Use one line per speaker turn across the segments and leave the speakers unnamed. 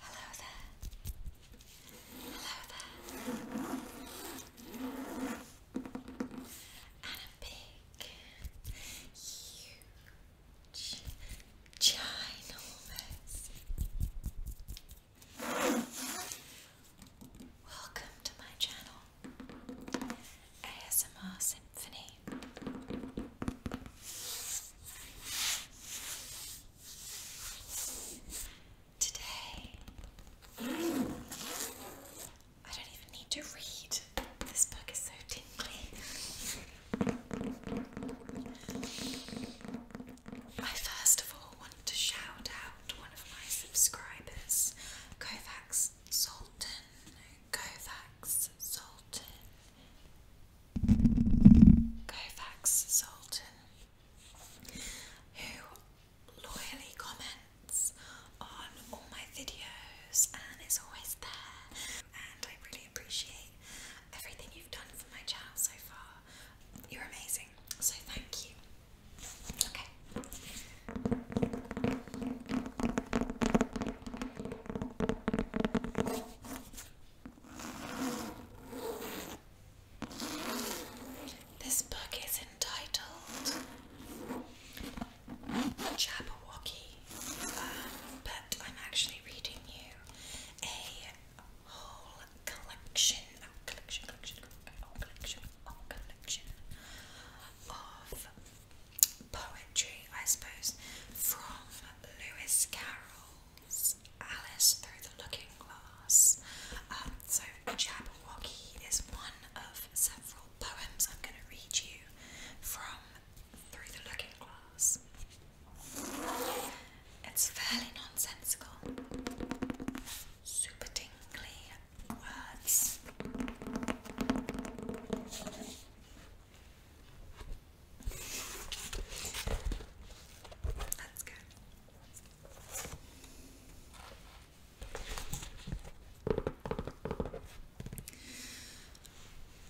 Hello there. Hello there. And a big, huge, ginormous. Welcome to my channel, ASMR Symphony. Today, I don't even need to read. This book is so tingly. I first of all want to shout out one of my subscribers, Kovacs Sultan. Kovacs Sultan. Kovacs Sultan, who loyally comments on all my videos and is always there. And I really appreciate everything you've done for my channel so far. You're amazing, so thank you. Okay. This book is entitled Jabberwocky, uh, but I'm actually reading you a whole collection, collection, collection, oh, collection, oh, collection of poetry, I suppose, from Lewis Carroll. Alice Through the Looking Glass. Um, so Jabberwocky is one of several poems I'm going to read you from Through the Looking Glass. It's fairly nonsensical, super dingley words.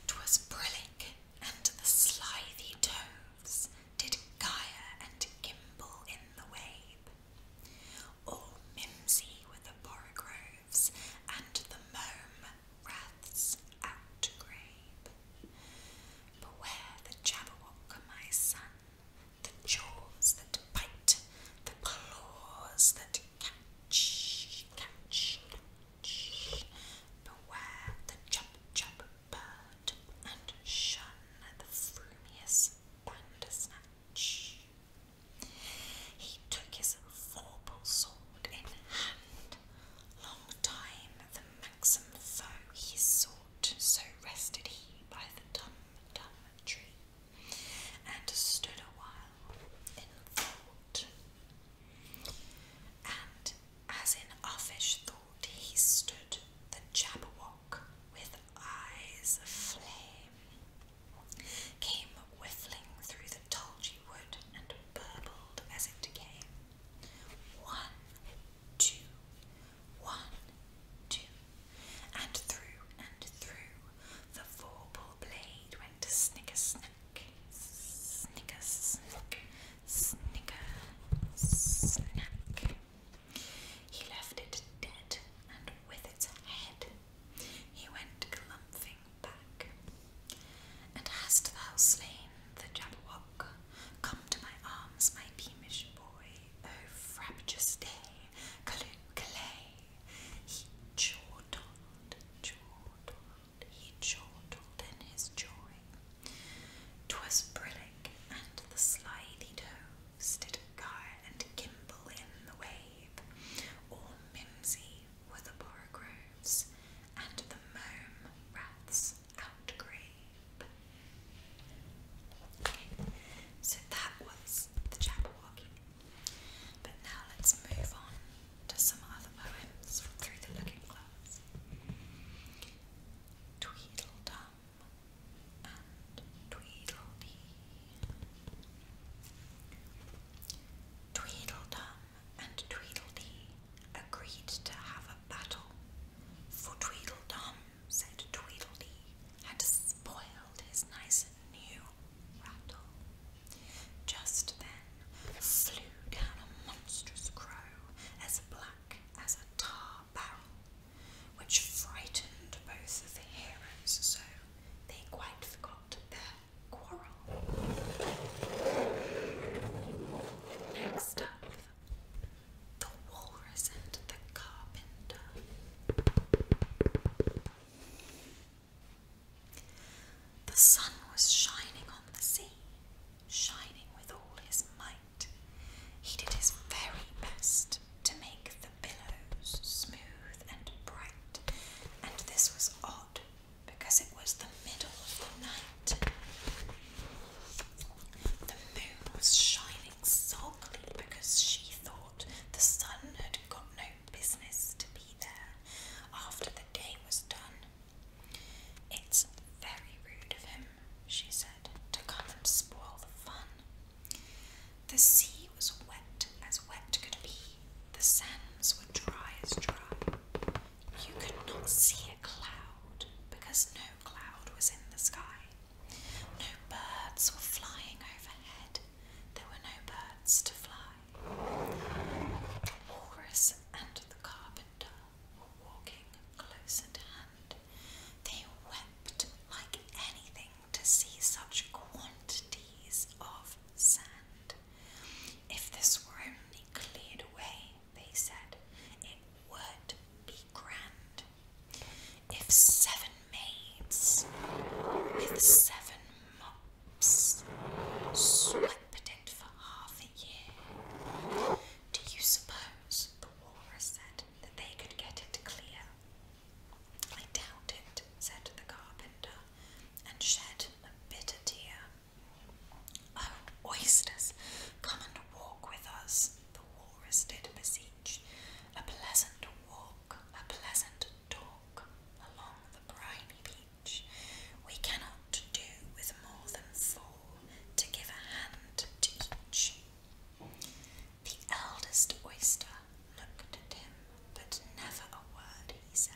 Twas brillig and the slithy toves did gyre and gimble in the wabe, all mimsy were the borogoves and the mome. Beware the Jabberwock, my son, the jaws that bite, the claws that catch, Beware the chub-chub bird, and shun the frumious bandersnatch. He took his formidable sword in hand, Long time the maxim foe he sought, so rested he by the dumb dumb tree, and stood awhile in thought. And as in offish thought he stood, the Jabberwock with eyes of flame came whiffling through the tulgey wood and burbled as it came. One, two, one, two, and through and through the 4 blade went to snicker snack, snicker snack, snicker snack. He left it dead and with its head. He went clumping and hast thou slain the Jabberwock? Come to my arms, my beamish boy, O frabjous day, Calloo, Calais! He jolted, chortled, he chortled in his joy. 'Twas brillig, and the slithy doves did gyre and gimble in the wave, all mimsy were the borogoves and the mome raths outgrabe. so that was the Jabberwocky. But now let's move on to some other poems from Through the Looking Glass. Tweedledum and Tweedledee. Tweedledum and Tweedledee agreed to have a battle, for Tweedledum, said Tweedledee, had spoiled his nice new rattle. Just then flew down a monstrous crow, as black as a tar barrel, which frightened both of the heroes so they quite forgot their Quarrel. Next up, the walrus and the carpenter. The sun was shining on the sea, shining with all his might. He did his very best to make the billows smooth and bright, and this was odd because it was the middle of the night. The moon was shining softly. because she thought the sun had got no business to be there after the day was done. It's very rude of him, she said, to come and spoil the fun. The sea was wet as wet could be, the sands were dry as dry you could not see a cloud because no cloud was in the sky. No birds were flying overhead. There were no birds to fly. Horus and the carpenter were walking close at hand. They wept like anything to see such quantities of sand. If this were only cleared away, they said, it would be grand. If seven maids with seven mops swept it for half a year, do you suppose, the walrus said, that they could get it clear? I doubt it, said the carpenter, and shed a bitter tear. Oh, oysters, come and walk with us, the walrus did beseech. A pleasant walk, a pleasant talk along the briny beach. We cannot do with more than four to give a hand to each. The eldest oyster looked at him, but never a word he said.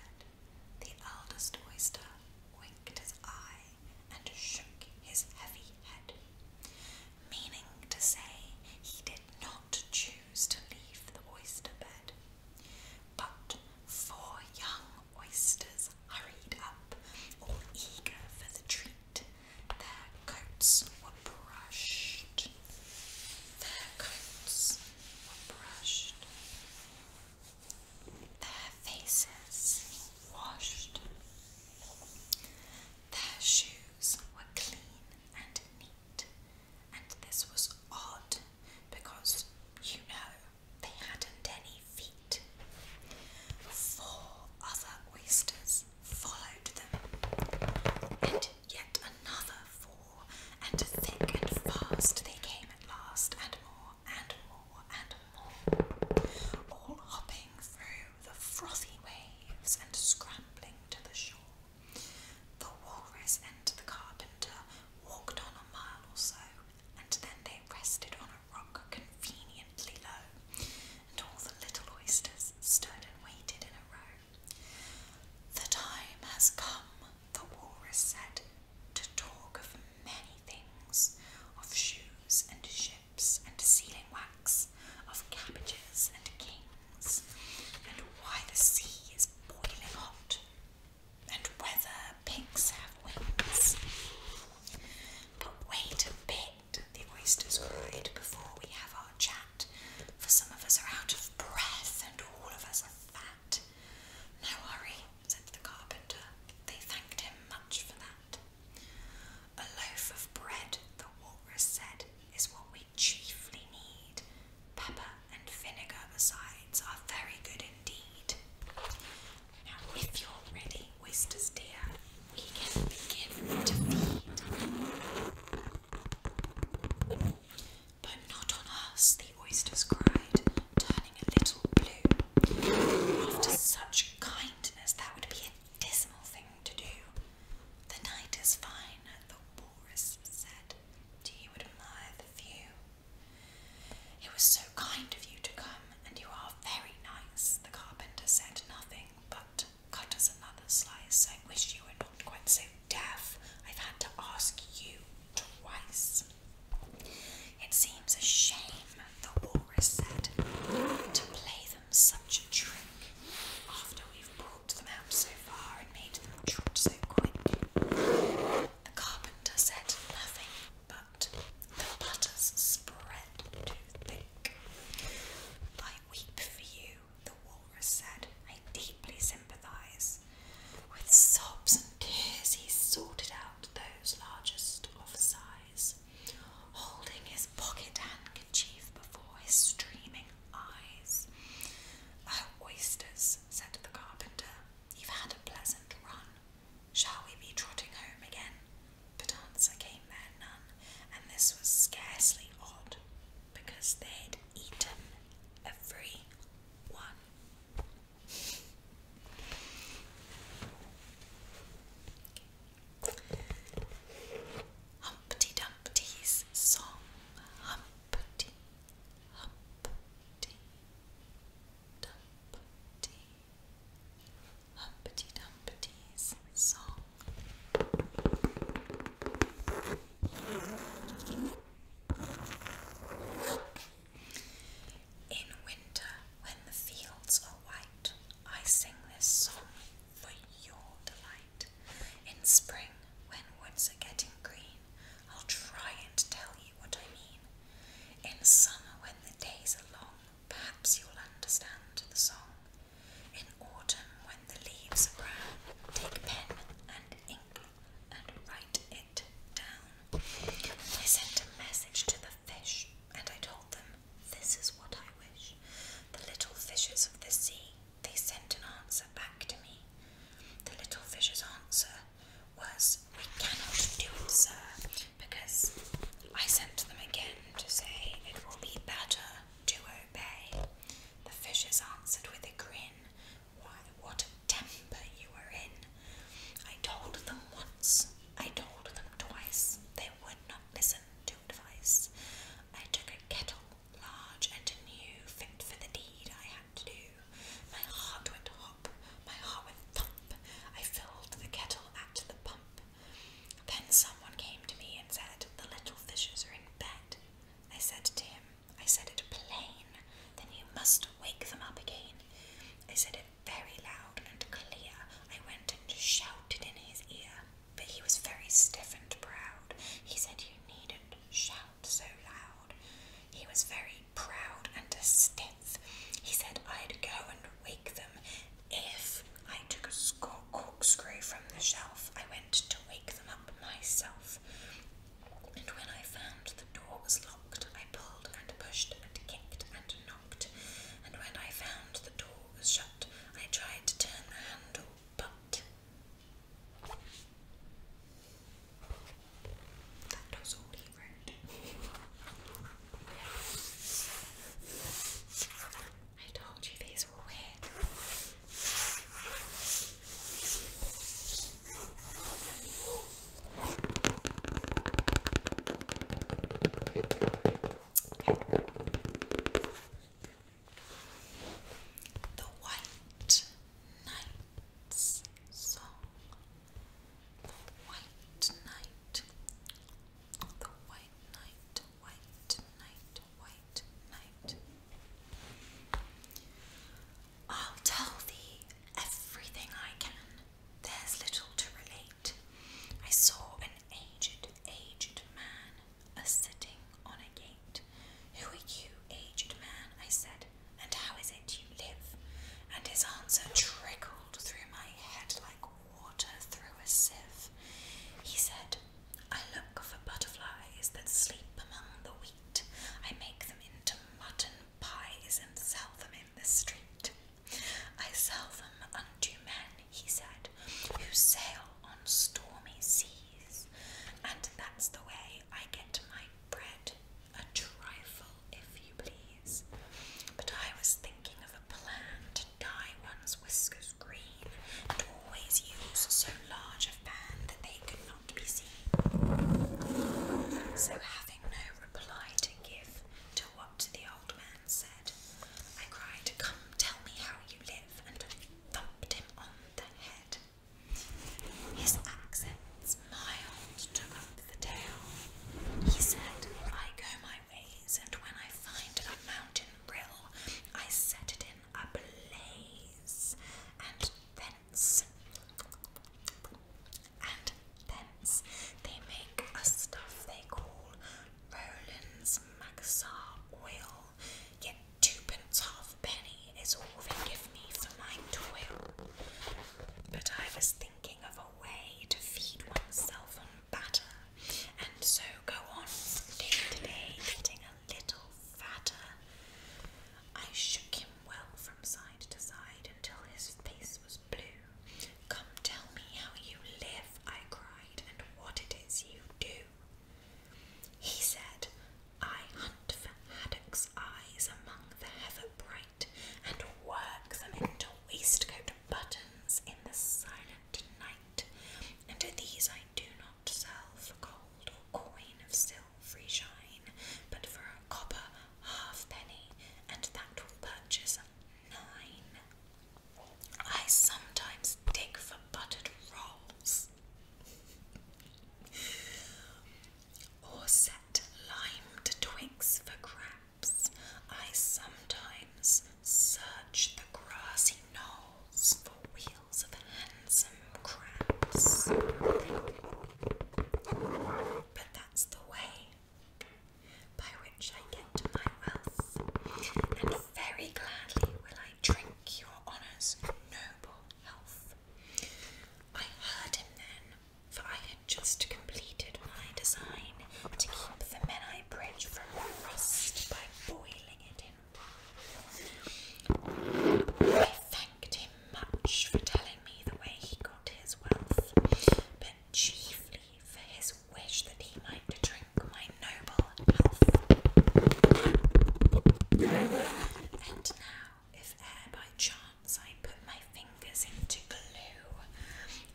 The eldest oyster winked his eye and shook his heavy head, meaning to say he did not choose to leave the oyster bed. But four young oysters hurried up, all eager for the treat. Their coats were brushed. Their coats were brushed their faces washed, their shoes were clean and neat, and this was odd because you know they hadn't any feet. Four other oysters followed them, and yet another four and thick and fast they came at last, and more, and more, and more, all hopping through the frothy waves and scrambling to the shore. The walrus and the carpenter walked on a mile or so, and then they rested on a rock conveniently low, and all the little oysters stood and waited in a row. The time has come, the walrus said, to talk of many things, of shoes and ships and sealing wax, of cabbages and kings, and why the sea is boiling hot, and whether pigs have wings. But wait a bit, the oysters cried, before we have our chat, for some of us are out of breath and all of us are fat. No worry, said the carpenter. They thanked him much for that. A loaf of bread, the walrus said, is what we chiefly need. Pepper and vinegar, besides, are very good indeed. Now, if you're ready, oysters dear, we can begin to feed. But not on us, the oysters cried, turning a little blue. After such kindness, that would be a dismal thing to do. The night is fine, the walrus said. Do you admire the view? It was so kind of you to come, and you are very nice. The carpenter said nothing, but cut us another slice. I wish you were not quite so deaf. I've had to ask you twice. It seems a shame, the walrus said, to play them such a trick after we've brought them out so far and made them trot so quick. The carpenter said nothing, but the butters spread too thick. I weep for you, walrus said, I deeply sympathize. With sobs and tears, he sorted out those largest of size, holding his pocket handkerchief before his streaming eyes. Oh, oysters, said the carpenter, you've had a pleasant run. Shall we be trotting home again? But answer came there none, and this was scarcely odd, because they'd eaten every Humpty Dumpty's song. Humpty, Humpty, Dumpty. Humpty Dumpty's song. In winter, when the fields are white, I sing this song for your delight. In spring, when woods are getting green, I'll try and tell you what I mean. In summer, when the days are long, perhaps you'll understand the song. In autumn, when the leaves are brown, take pen and ink I sent a message to the fish, and I told them, This is what I wish. The little fishes of the sea, they sent an answer back to me. The little fish's answer was, We cannot do it, sir, because I sent them again to say it will be better to obey. The fishes answered with a grin, why, what a temper you were in. I told them once, I told them twice, they would not listen to advice. I took a kettle, large and new, fit for the deed I had to do. My heart went hop, my heart went thump, I filled the kettle at the pump. Then someone came to me and said, The little fishes are in bed. I said to him, I said it plain, then you must wake them up again. I said it very loud and clear. I went and shouted in his ear, but he was very stiff and proud. He said you needn't shout so loud. He was very proud and stiff. He said I'd go and wake them if I took a corkscrew from the shelf. I went to wake them up myself. And when I found the door was locked, I pulled and pushed and kicked and knocked. And when I found the door was shut, I tried to turn the handle, but that was all he wrote. I told you these the White Knight's Song. The White Knight. The White Knight. White Knight white, white I'll tell thee everything I can. There's little to relate. I saw an aged, aged man sitting on a gate. Who are you, aged man? I said, and how is it you live? And his answer trickled through my head like water through a sieve. He said, I look for butterflies that sleep among the wheat. I make them into mutton pies and sell them in the street. I sell them unto men, he said, who sail on stormy seas. And that's the way I get my bread, a trifle, if you please. But I was thinking of a plan to dye one's whiskers green and always use so large a fan that they could not be seen. So, having no reply to give to the old man said, I cried, Come, tell me how you live, and thumped him on the head. His accents mild took up the tale. He said, I go my ways, and when I find a mountain rill, I set it in." a blaze, and thence, and thence they make a stuff they call Roland's Maxar oil. Yet twopence halfpenny is all they give me for my toil. But I was thinking of a way to feed oneself on batter, and so go on from day to day getting a little fatter. I shook him well from side to side until his face was blue. Come tell me how you live, I cried, and what it is you do. He said, I hunt for haddocks' eyes among the heather bright, and work them into waistcoat buttons in the silent night. And these I do not sell for gold or coin of silvery shine, but for a copper halfpenny, and that will purchase nine. I sometimes dig for buttered rolls, or set limed twigs for crabs. I sometimes search the grassy knoll wheels for wheels of a handsome crabs. But that's the way by which I get my wealth, and very gladly will I drink your honour's noble health. I heard him then, for I had just completed my design to keep the Menai Bridge from rust by boiling it in I thanked him much for telling me the way he got his wealth, but chiefly for his wish that he might drink my noble health. And now, if e'er by chance I put my fingers into glue,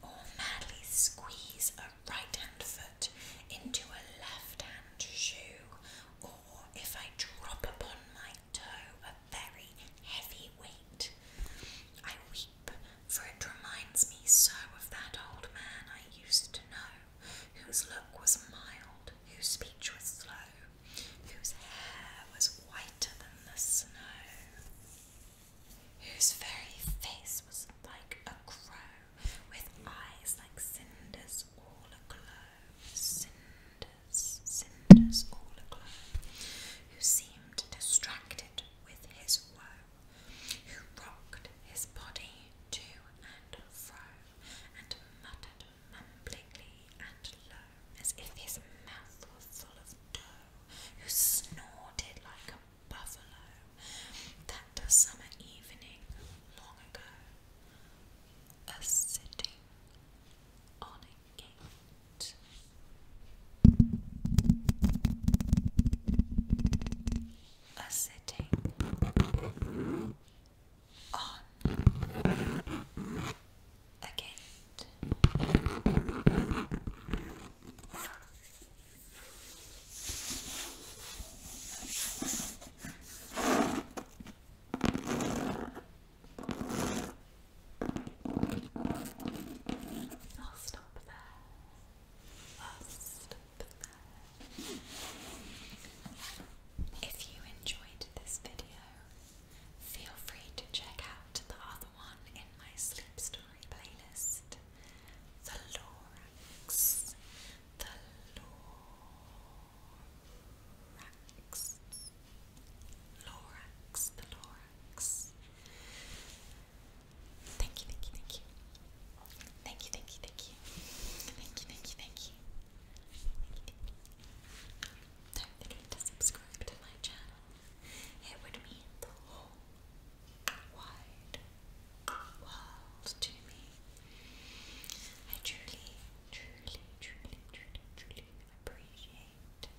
or madly squeeze a right hand foot into a left hand shoe, or if I drop upon my toe a very heavy weight, I weep, for it reminds me so of that old man I used to know, whose look was mild, whose speech was slow, whose hair was whiter than the snow. Whose very face was like a crow, with eyes like cinders all aglow, cinders, cinders all aglow, who seemed distracted with his woe, who rocked his body to and fro, and muttered mumblingly and low, as if his mouth were full of dough, who snorted like a buffalo. A summer evening long ago, a sitting on a gate. A sitting on a I'll stop there. I'll stop there. If you enjoyed this video, feel free to check out the other one in my sleep story playlist, The Lorax thorax, thorax, thorax. Thank you, thank you, thank you, thank you, thank you, thank you, thank you, thank you, thank you. Don't forget to subscribe to my channel. It would mean the whole wide world to me. I truly, truly, truly, truly, truly appreciate you.